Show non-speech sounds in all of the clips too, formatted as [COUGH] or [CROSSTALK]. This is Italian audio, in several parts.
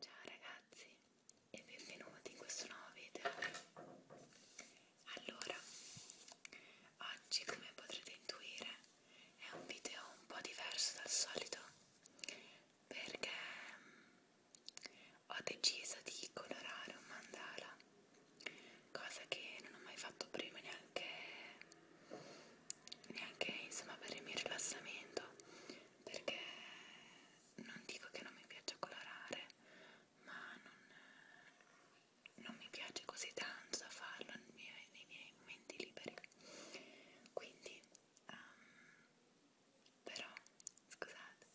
Ciao ragazzi e benvenuti in questo nuovo video. Allora, oggi come potrete intuire è un video un po' diverso dal solito perché mm, ho deciso di colorare un mandala, cosa che non ho mai fatto prima neanche neanche insomma per il mio rilassamento perché non dico che non mi piace colorare, ma non, non mi piace così tanto da farlo nei miei, nei miei momenti liberi. Quindi, um, però, scusate,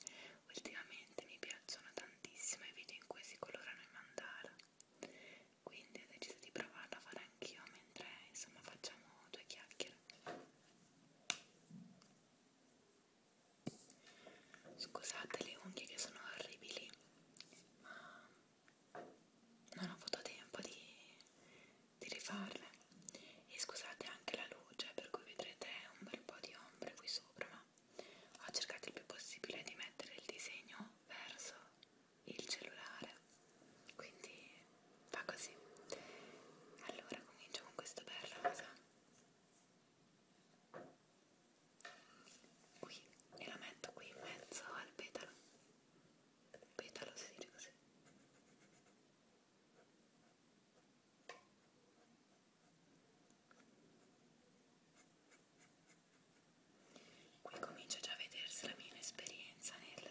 ultimamente mi piacciono tantissimo i video in cui si colorano i mandala, quindi ho deciso di provarlo a fare anch'io mentre insomma facciamo due chiacchiere. Scusate le unghie che sono orribili, ma non ho avuto tempo di, di rifarle. E scusate anche la luce, per cui vedrete un bel po' di ombre qui sopra, ma ho cercato il più possibile di mettere il disegno verso il cellulare quindi va così allora comincio con questo bel rosa qui e la metto qui in mezzo al petalo petalo si dice così Qui comincia già a vedersi la mia esperienza nel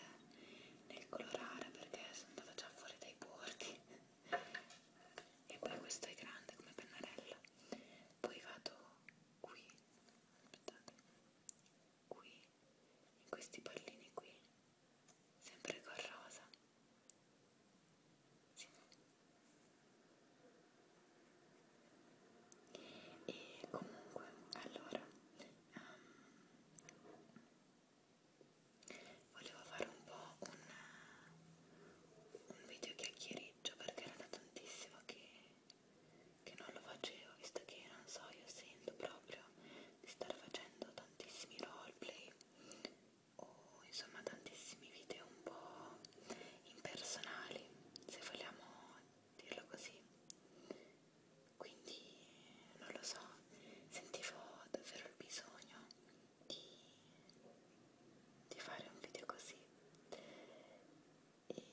nel colorare perché sono andata già fuori dai bordi e poi questo è grande come pennarella poi vado qui aspettate qui in questi pallini qui sempre con rosa sì. e comunque allora um, volevo fare un po' un, un video chiacchiericcio perché era da tantissimo che, che non lo facevo visto che non so io sento proprio di star facendo tantissimi roleplay o insomma tantissimi video un po' impersonali se vogliamo dirlo così quindi non lo so, sentivo davvero il bisogno di, di fare un video così e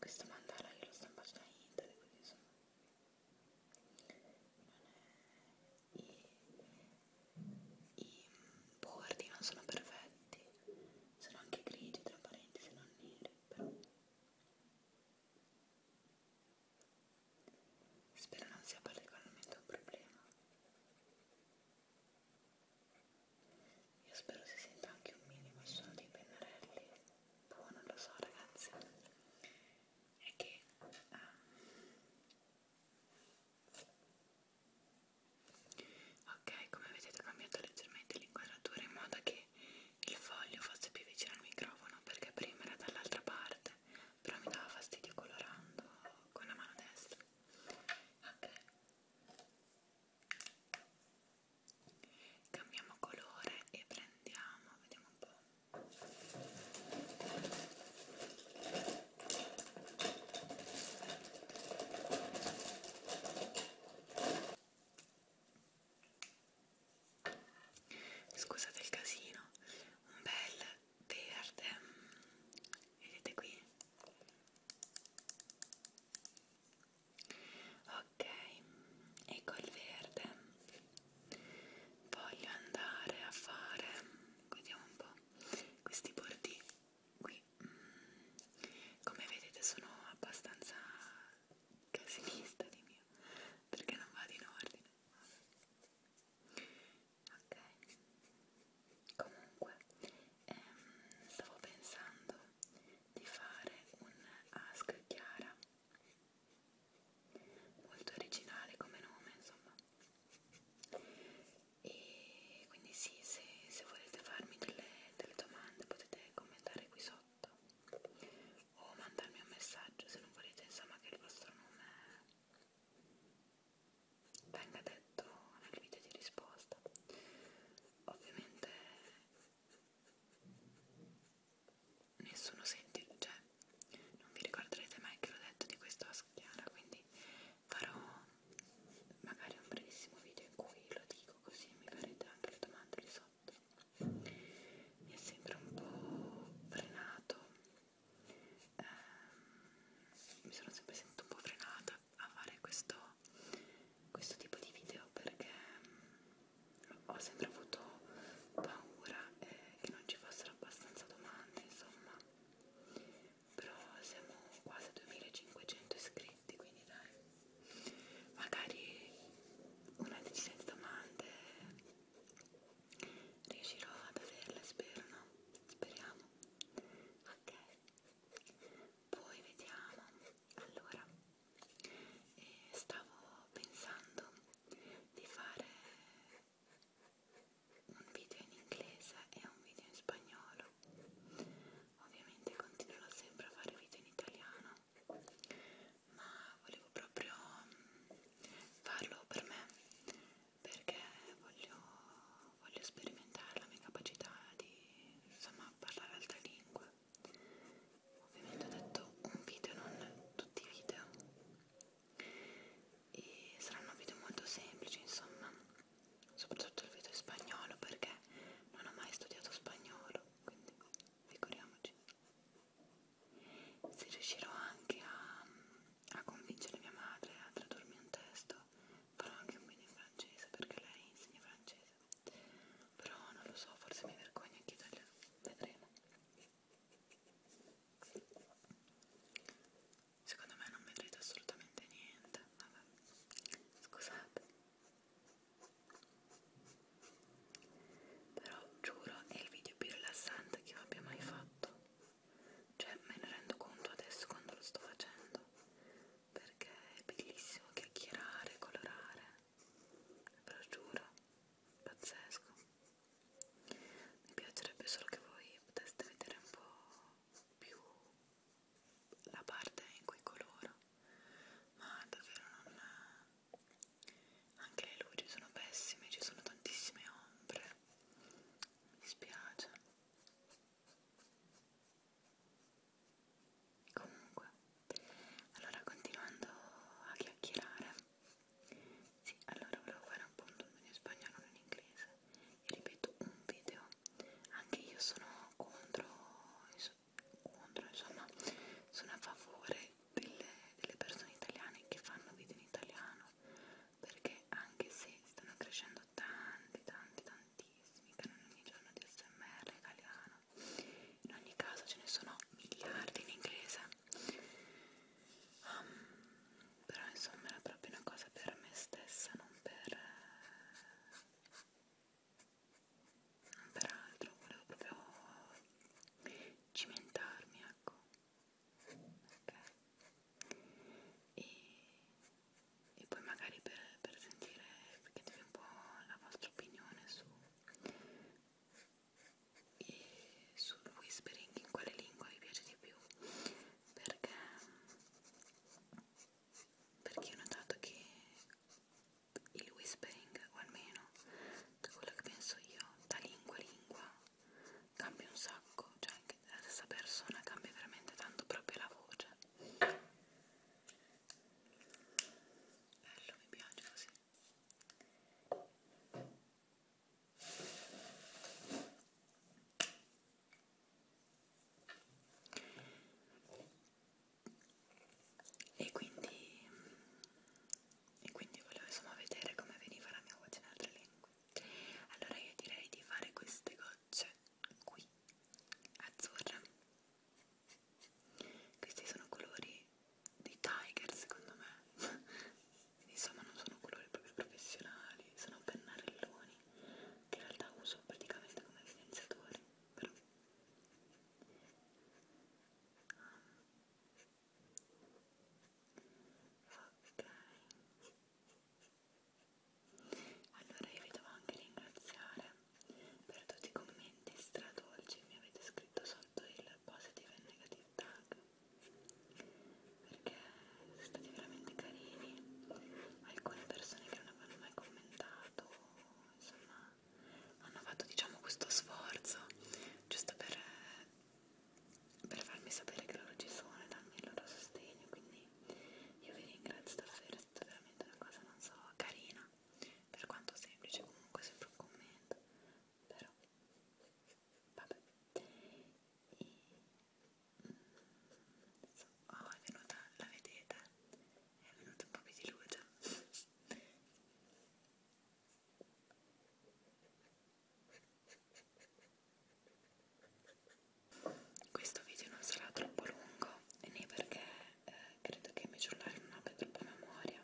questo mandala io l'ho stampato da internet quindi insomma non è, i, i bordi non sono perfetti sono anche grigi tra parentesi non neri però Spero non sia particolarmente un problema. Io spero si senta anche un minimo il suono dei pennarelli. Boh, non lo so ragazzi. È che... Ah. Ok, come vedete ho cambiato leggermente l'inquadratura in modo che che il foglio fosse più vicino al microfono perché prima era dall'altra parte però mi dava fastidio colorando con la mano destra ok cambiamo colore e prendiamo vediamo un po' scusate il casino un bel verde vedete qui ok e col verde voglio andare a fare vediamo un po' questi bordi qui mm, come vedete sono abbastanza casinista di mio perché non vado in ordine ok comunque ehm, stavo pensando di fare un ask chiara molto originale come nome insomma e quindi sì se, se volete farmi delle, delle domande potete commentare qui sotto sotto o mandarmi un messaggio se non volete insomma che il vostro nome venga detto nel video di risposta ovviamente nessuno sente cioè non vi ricorderete mai che l'ho detto di questo a Schiara quindi farò magari un brevissimo video in cui lo dico così mi farete anche le domande lì sotto mi è sempre un po' frenato eh, mi sono sempre sentita un po' frenata a fare questo, questo tipo di video perché mm, ho sempre avuto paura eh, che non ci fossero abbastanza domande insomma però siamo quasi a 2500 iscritti quindi dai magari una decina di domande riuscirò ad averle spero no? speriamo ok poi vediamo allora eh, stavo pensando di fare un video in inglese e un video in spagnolo ovviamente continuerò sempre a fare video in italiano ma volevo proprio farlo per me perché voglio, voglio sperimentare la mia capacità di insomma parlare altre lingue ovviamente ho detto un video non tutti i video e saranno video molto semplici insomma soprattutto il video in spagnolo perché non ho mai studiato spagnolo quindi figuriamoci se riuscirò anche a, a convincere mia madre a tradurmi un testo, farò anche un video in francese perché lei insegna francese. Però non lo so, forse mi vergogno anche italiano. Vedremo. Secondo me non vedrete assolutamente niente. Vabbè, scusate però giuro è il video più rilassante che io abbia mai fatto cioè me ne rendo conto adesso quando lo sto facendo perché è bellissimo chiacchierare, colorare ve lo giuro pazzesco mi piacerebbe solo che voi poteste vedere un po' più la parte in cui coloro ma davvero non, anche le luci sono pessime, ci sono tantissime ombre, mi dispiace. Comunque, allora continuando a chiacchierare, sì, allora volevo fare un punto in spagnolo e in inglese e ripeto un video, anche io sono contro, contro insomma, sono a favore delle, delle persone italiane che fanno video in italiano perché anche se stanno crescendo tanti tanti tantissimi canali ogni giorno di smr italiano in ogni caso ce ne sono miliardi in inglese um, però insomma era proprio una cosa per me stessa non per non per altro volevo proprio cimentarmi ecco ok e, e poi magari per, per sentire perché un po' la vostra opinione su e sul whispering in quale lingua vi piace di più perché perché ho notato che il whispering o almeno da quello che penso io da lingua a lingua cambia un sacco, cioè anche la stessa persona cambia veramente tanto proprio la voce. Bello, mi piace così. E quindi e quindi volevo insomma vedere come veniva la mia voce in altre lingue allora io direi di fare queste gocce qui azzurre questi sono colori di Tiger secondo me [LAUGHS] insomma non sono colori proprio professionali sono pennarelloni che in realtà uso praticamente come evidenziatori però um, Ok. Allora io vi devo anche ringraziare per tutti i commenti stradolci che mi avete scritto sotto il positive e negative tag perché siete stati veramente carini alcune persone che non avevano mai commentato insomma hanno fatto diciamo questo sforzo giusto per per farmi sapere che loro ci sono e darmi il loro sostegno, quindi io vi ringrazio davvero, è stata veramente una cosa, non so, carina, per quanto semplice, comunque sempre un commento, però vabbè. E, mm, oh, è venuta, la vedete? È venuta un po' più di luce. Questo video non sarà troppo lungo, né perché eh, credo che il mio cellulare non abbia troppa memoria,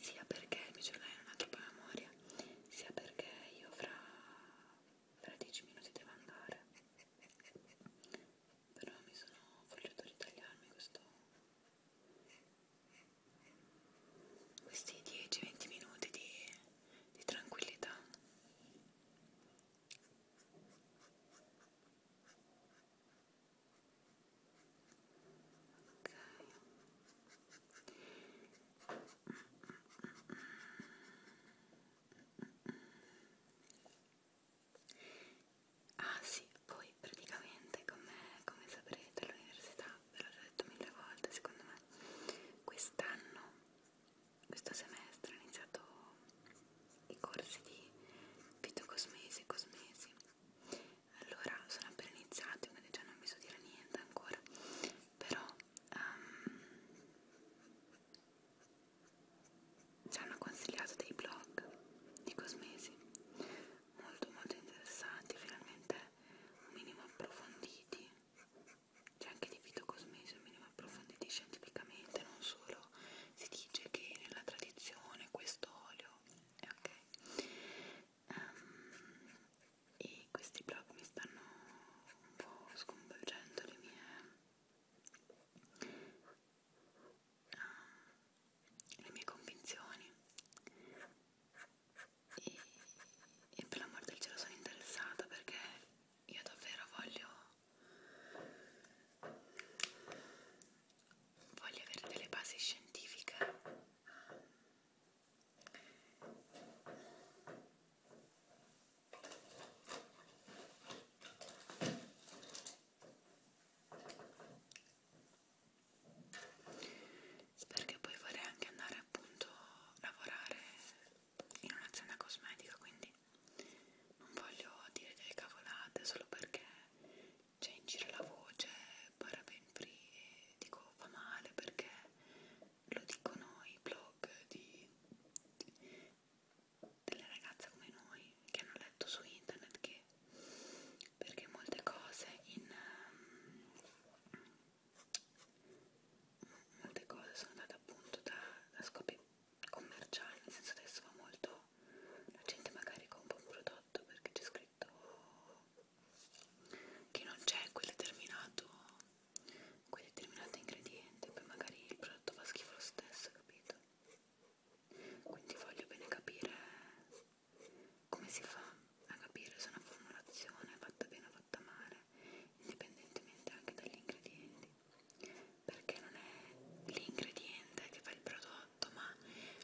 sia perché il mio cellulare non ha troppa memoria, sia perché io fra, fra 10 minuti devo andare. Però mi sono voglio ritagliarmi questo questi 10-20 minuti di, di tranquillità ok Ah sì, poi praticamente come, come saprete all'università ve l'ho già detto mille volte secondo me quest'anno questo semestre ho iniziato i corsi di fitocosmesi e cosmesi allora sono appena iniziati quindi già non vi so dire niente ancora però um, ci hanno consigliato dei blog di cosmesi molto molto interessanti finalmente un minimo approfonditi c'è anche di fitocosmesi un minimo approfonditi scientificamente non solo si dice che nella tradizione questo olio ok um, e questi blog mi stanno un po' sconvolgendo le mie um, le mie convinzioni e, e per l'amor del cielo sono interessata perché io davvero voglio voglio avere delle basi scientifiche perché poi vorrei anche andare appunto a lavorare in un'azienda cosmetica quindi non voglio dire delle cavolate solo perché c'è in giro la voce paraben free e dico fa male perché lo dicono i blog di, di, delle ragazze come noi che hanno letto su internet che perché molte cose in um, molte cose sono andate appunto da, da scopi commerciali, nel senso adesso va molto, la gente magari compra un prodotto perché c'è scritto che non c'è quel determinato, quel determinato ingrediente, poi magari il prodotto fa schifo lo stesso, capito? Quindi voglio bene capire come si fa a capire se una formulazione è fatta bene o fatta male, indipendentemente anche dagli ingredienti? Perché non è l'ingrediente che fa il prodotto, ma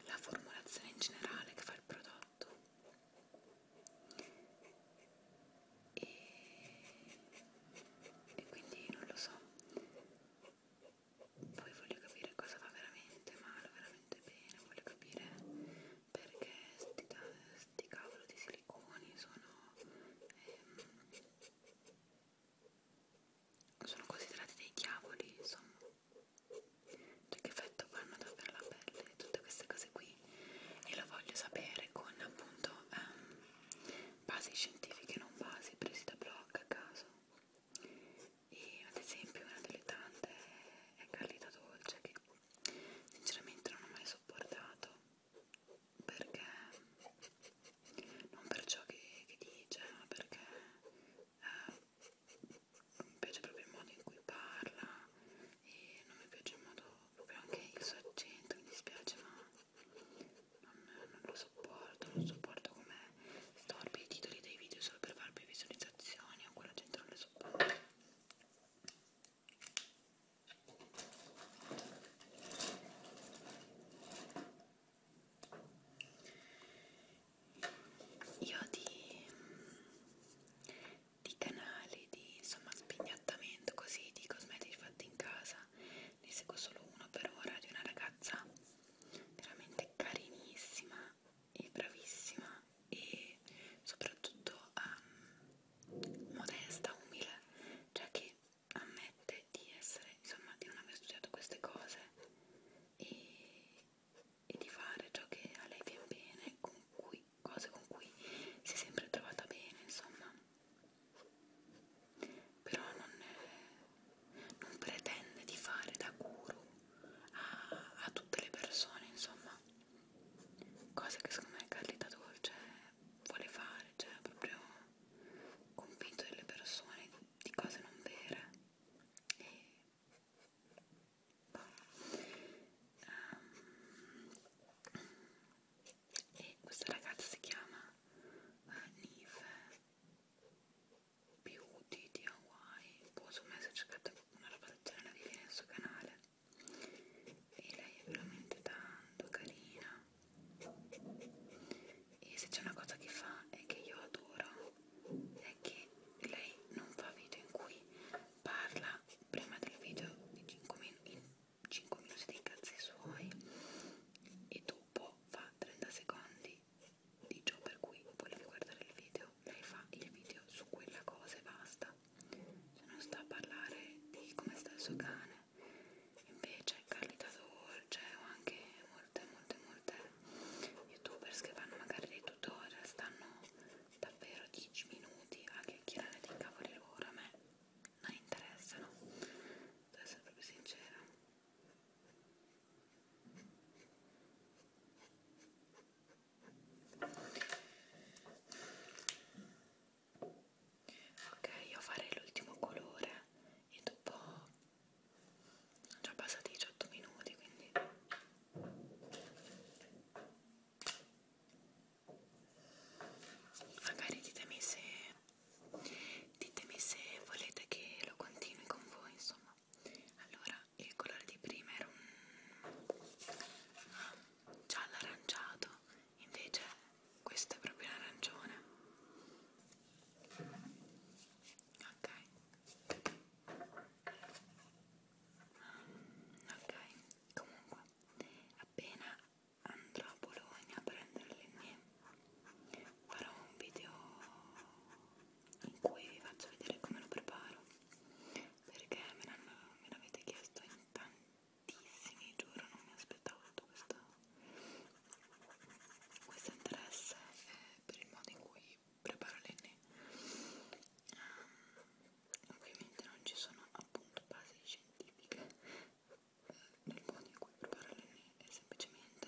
la formulazione in generale che fa il prodotto. E, e quindi non lo so. Poi voglio capire cosa va veramente male, veramente bene, voglio capire perché sti, sti cavolo di siliconi sono ehm, sono considerati dei diavoli insomma cioè che effetto fanno davvero la pelle tutte queste cose qui e lo voglio sapere con appunto ehm, basi scientifiche non basi presi da blog a caso e ad esempio una delle tante è Carlita Dolce che sinceramente non ho mai sopportato perché non per ciò che, che dice ma perché eh, mi piace proprio il modo in cui parla e non mi piace il modo proprio anche il suo accento mi dispiace ma non, non lo sopporto non sopporto com'è storpi i titoli dei video solo per farvi visualizzazioni o quella gente non le sopporta io di, di canali di insomma spignattamento così di cosmetici fatti in casa ne seguo solo uno per ora di una ragazza veramente carinissima è bravissima e soprattutto um, modesta, umile, cioè che ammette di essere, insomma, di non aver studiato queste cose e, e di fare ciò che a lei viene bene, con cui, cose con cui si è sempre trovata bene, insomma. Però non, è, non pretende di fare da guru a, a tutte le persone, insomma, cosa che secondo me Carlita Dolce cioè, vuole fare, cioè proprio convinto delle persone di cose non vere. E Um, e questa ragazza si chiama eh, Nive Beauty di Hawaii. Posso boh, me se cercate una roba del genere, vi viene sul canale e lei è veramente tanto carina e se c'è una cosa che fa e che io adoro è che lei non fa video in cui parla prima del video di 5 in 5 minuti dei cazzi suoi e dopo fa 30 secondi di ciò per cui volevi guardare il video video, lei fa il video su quella cosa e basta, cioè non sta a parlare di come sta il suo cane. Invece Carlita Dolce o anche molte, molte, molte youtubers che fanno magari dei tutorial stanno davvero 10 minuti a chiacchierare dei cavoli loro, a me non interessano, devo essere proprio sincera ok io farei l'ultimo colore e dopo sono già passati 18 minuti quindi magari ditemi se ditemi se volete che lo continui con voi insomma allora il colore di prima era un giallo aranciato, invece questo è proprio un arancione. Ok. Ok, comunque appena andrò a Bologna a prendere le mie farò un video in cui vi faccio vedere come lo preparo perché me l'avete chiesto in tantissimi, giuro, non mi aspettavo tutto questo, questo interesse eh, per il modo in cui preparo le ne. Um, ehm, ovviamente non ci sono appunto basi scientifiche eh, nel modo in cui preparo le ne, è semplicemente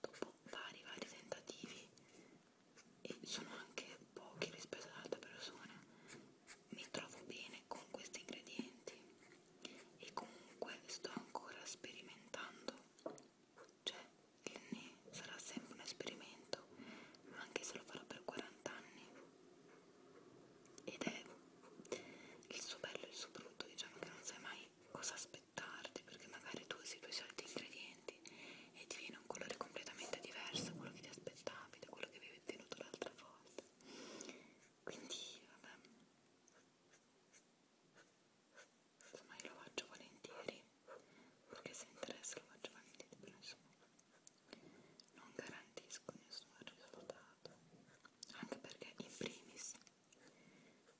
dopo vari vari tentativi e sono anche pochi rispetto ad altre persone mi trovo bene con questi ingredienti e comunque sto ancora sperimentando cioè il ne sarà sempre un esperimento anche se lo farò per 40 anni ed è il suo bello e il suo brutto diciamo che non sai mai cosa aspettarti perché magari tu usi i tuoi soliti ingredienti e ti viene in un colore completamente diverso da quello che ti aspettavi, da quello che avevi ottenuto l'altra volta. Quindi, vabbè, insomma, io lo faccio volentieri perché se interessa lo faccio volentieri, però insomma, non garantisco nessun risultato anche perché, in primis,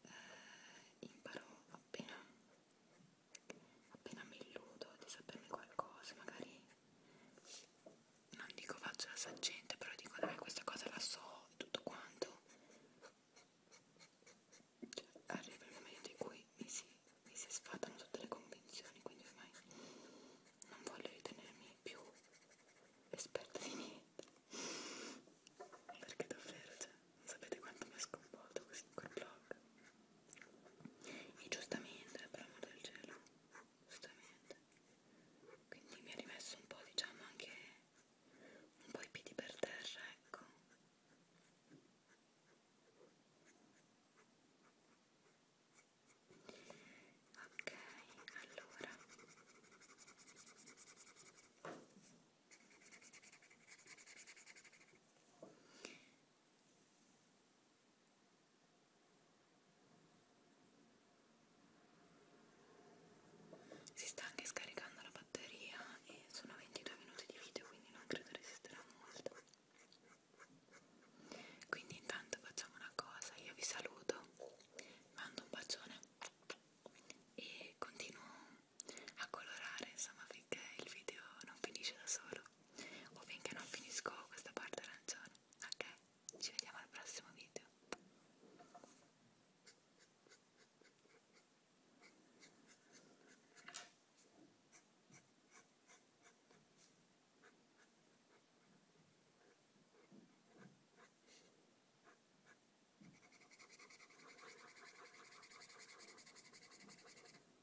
eh, imparo appena appena mi illudo di saperne qualcosa, magari non dico faccio la saggente, però dico dai questa cosa la so e tutto quanto. Cioè, arriva il momento in cui mi si, mi si sfatano tutte le convinzioni, quindi ormai non voglio ritenermi più esperta di niente. Perché davvero, cioè, non sapete quanto mi ha sconvolto questo quel blog e giustamente per amore del cielo giustamente quindi mi ha rimesso un po' diciamo anche un po' i piedi per terra ecco ok allora si sta anche scaricando la batteria e sono 22 minuti di video quindi non credo resisterà molto. Quindi intanto facciamo una cosa, io vi saluto, mando un bacione e continuo a colorare, insomma finché il video non finisce da solo o finché non finisco questa parte arancione. Ok? Ci vediamo al prossimo video.